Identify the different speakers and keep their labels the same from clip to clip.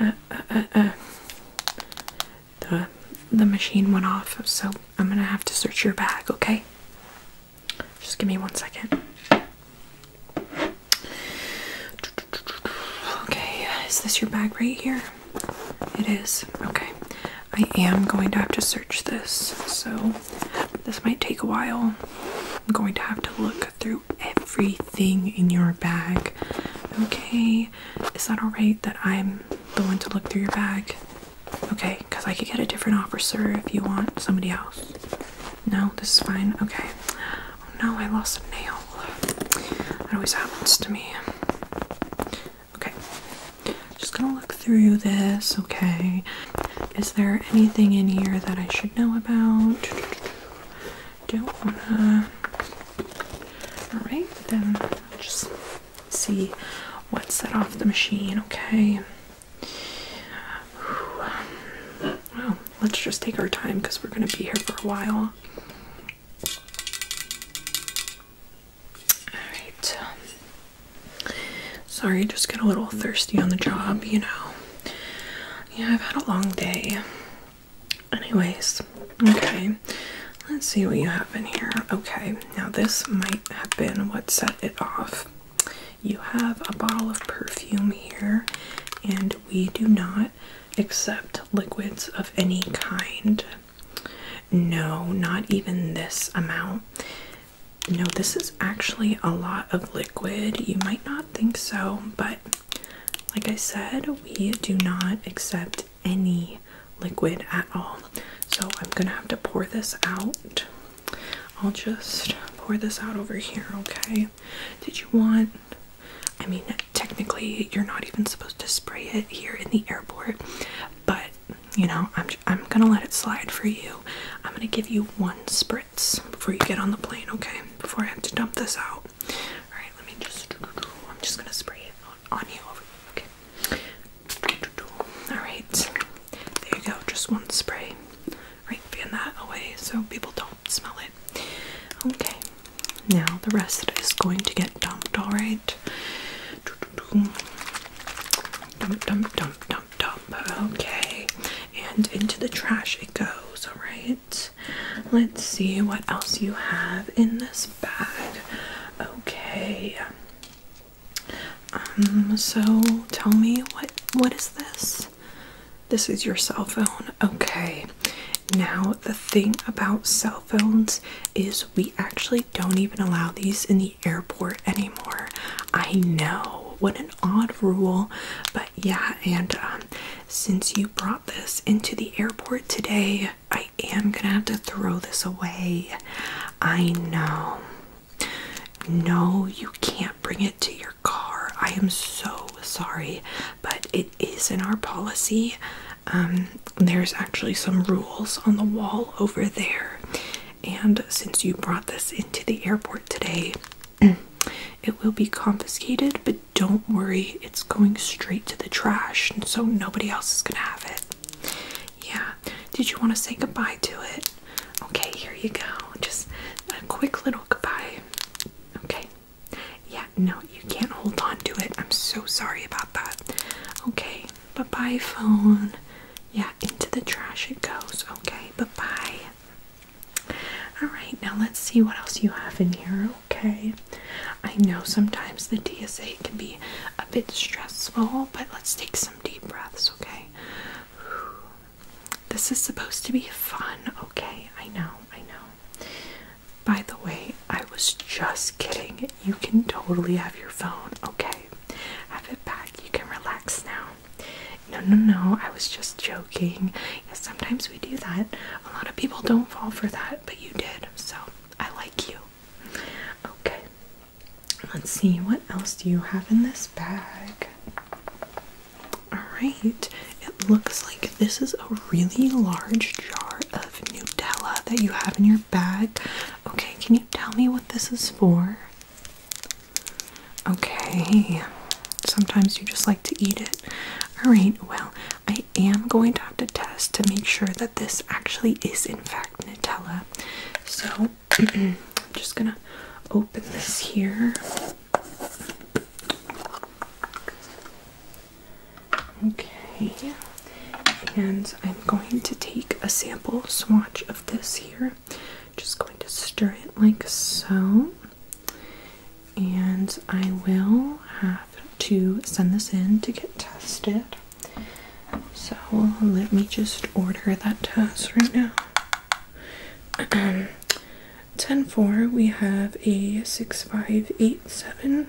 Speaker 1: Uh, uh, uh, The, the machine went off, so I'm gonna have to search your bag, okay? Just give me one second. Okay, is this your bag right here? It is. Okay. I am going to have to search this, so this might take a while. I'm going to have to look through everything in your bag. Okay, is that alright that I'm the one to look through your bag? Okay, because I could get a different officer if you want somebody else. No, this is fine. Okay. Oh no, I lost a nail. That always happens to me. Okay. Just gonna look through this, okay? Is there anything in here that I should know about? Don't wanna. Alright, then just see what set off the machine, okay? Well, let's just take our time because we're gonna be here for a while. Alright. Um, sorry, just got a little thirsty on the job, you know. Yeah, I've had a long day. Anyways, okay. Let's see what you have in here. Okay, now this might have been what set it off. You have a bottle of perfume here, and we do not accept liquids of any kind. No, not even this amount. No, this is actually a lot of liquid. You might not think so, but like I said, we do not accept any liquid at all. So I'm gonna have to pour this out. I'll just pour this out over here, okay? Did you want I mean, technically, you're not even supposed to spray it here in the airport, but you know, I'm, I'm gonna let it slide for you. I'm gonna give you one spritz before you get on the plane, okay? Before I have to dump this out. Alright, let me just. I'm just gonna spray it on, you over here, okay? Alright, there you go, just one spray. Right, fan that away so people don't smell it. Okay, now the rest is going to get dumped, alright? Dump, dump, dump, dump, dump. Okay. And into the trash it goes, alright? Let's see what else you have in this bag. Okay. Um, so tell me what what is this? This is your cell phone. Okay. Now, the thing about cell phones is we actually don't even allow these in the airport anymore. I know, what an odd rule, but yeah, and um, since you brought this into the airport today, I am gonna have to throw this away. I know. No, you can't bring it to your car. I am so sorry, but it is in our policy. Um, there's actually some rules on the wall over there, and since you brought this into the airport today, it will be confiscated. But don't worry, it's going straight to the trash, and so nobody else is gonna have it. Yeah, did you want to say goodbye to it? Okay, here you go. Just a quick little goodbye. Okay, yeah, no, you can't hold on to it. I'm so sorry about that. Okay, bye bye, phone. Yeah, into the trash it goes. Okay, bye bye. Alright, now let's see what else you have in here. Okay, I know sometimes the DSA can be a bit stressful, but let's take some deep breaths. Okay, this is supposed to be fun, okay? I know, I know. By the way, I was just kidding. You can totally have your phone, okay? Have it back. You can relax now. No, no, no. I was just joking. Yeah, sometimes we do that. A lot of people don't fall for that, but you did. So I like you. Okay. Let's see. What else do you have in this bag? Alright, it looks like this is a really large jar of Nutella that you have in your bag. Okay, can you tell me what this is for? Okay, sometimes you just like to eat it. Alright, well, I am going to have to test to make sure that this actually is, in fact, Nutella. So, I'm just gonna open this here. Okay, and I'm going to take a sample swatch of this here. Just going to stir it like so, and I will have to send this in to get tested. So let me just order that test right now. Um, ten four, we have a six five eight seven.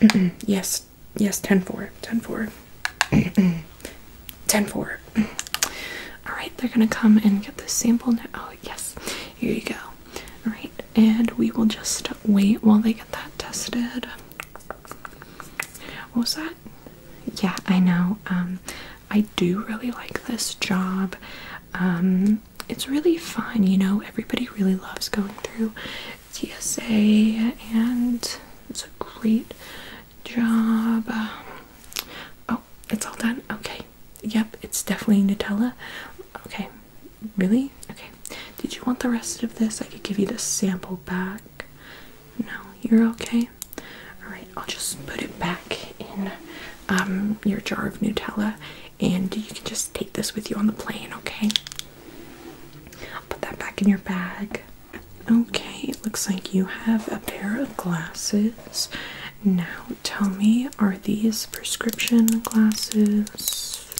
Speaker 1: yes, yes, ten four, ten four, ten four. All right, they're gonna come and get this sample now. Oh yes, here you go. All right, and we will just wait while they get that tested. What was that? Yeah, I know. Um, I do really like this job. Um, it's really fun, you know. Everybody really loves going through TSA, and it's a great job. Um, oh, it's all done. Okay. Yep, it's definitely Nutella. Okay. Really? Okay. Did you want the rest of this? I could give you the sample back. No, you're okay. All right, I'll just put it back in um, your jar of Nutella, and you can just take this with you on the plane, okay? put that back in your bag. Okay, it looks like you have a pair of glasses. Now, tell me, are these prescription glasses?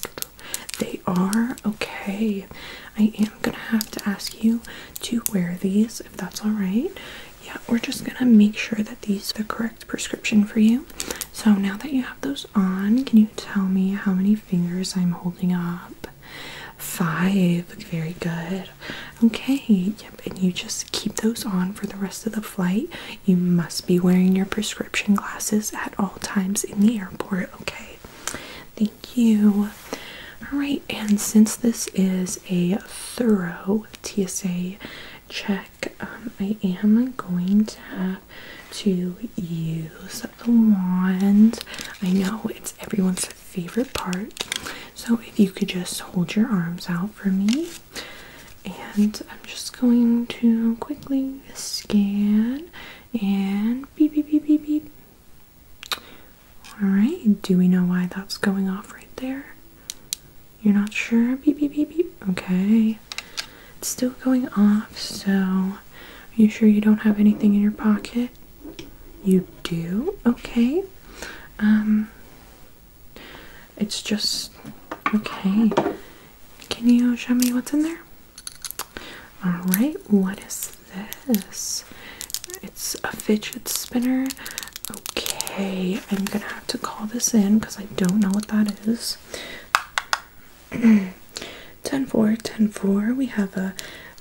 Speaker 1: They are okay. I am gonna have to ask you to wear these if that's alright. Yeah, we're just gonna make sure that these the correct prescription for you. So now that you have those on, can you tell me how many fingers I'm holding up? Five. Very good. Okay, yep, and you just keep those on for the rest of the flight. You must be wearing your prescription glasses at all times in the airport, okay? Thank you. Alright, and since this is a thorough TSA check, um, I am going to have to use the wand. I know it's everyone's favorite part. So if you could just hold your arms out for me. And I'm just going to quickly scan and beep beep beep beep beep. All right. Do we know why that's going off right there? You're not sure? Beep beep beep beep. Okay. It's still going off. So, are you sure you don't have anything in your pocket? You do? Okay. Um it's just okay. Can you show me what's in there? Alright, what is this? It's a fidget spinner. Okay, I'm gonna have to call this in because I don't know what that is. 10 4, We have a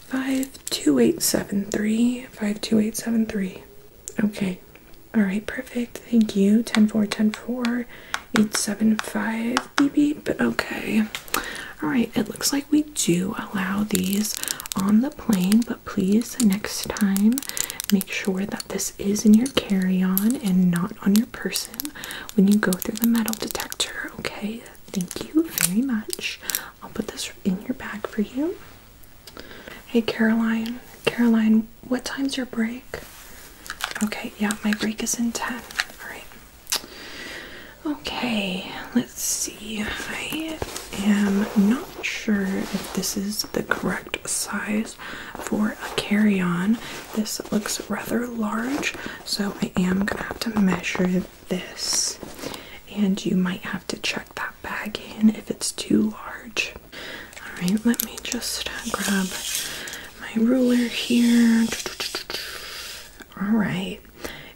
Speaker 1: 52873. 52873. Okay, alright, perfect. Thank you. 10 4, 875 BB, but okay. Alright, it looks like we do allow these on the plane, but please next time make sure that this is in your carry-on and not on your person when you go through the metal detector, okay? Thank you very much. I'll put this in your bag for you. Hey Caroline, Caroline, what time's your break? Okay, yeah, my break is in 10. Alright. Okay, let's see. I am not sure if this is the correct size for a carry on. This looks rather large, so I am gonna have to measure this. And you might have to check that bag in if it's too large. Alright, let me just uh, grab my ruler here. Alright,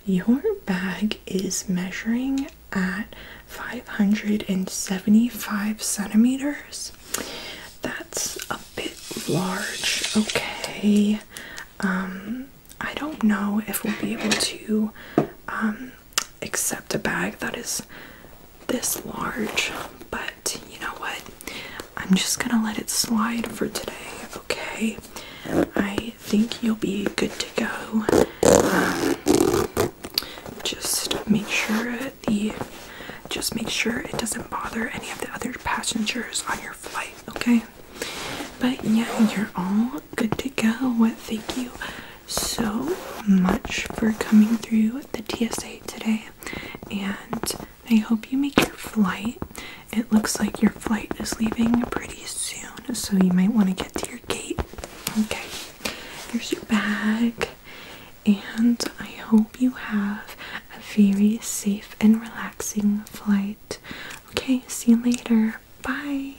Speaker 1: your bag is measuring at 575 centimeters. That's a bit large, okay. Um, I don't know if we'll be able to um, Except a bag that is this large, but you know what? I'm just gonna let it slide for today, okay? I think you'll be good to go. Um, just make sure the just make sure it doesn't bother any of the other passengers on your flight, okay? But yeah, you're all good to go. Thank you so much for coming through the TSA today, and I hope you make your flight. It looks like your flight is leaving pretty soon, so you might want to get to your gate. Okay, here's your bag, and I hope you have a very safe and relaxing flight. Okay, see you later. Bye.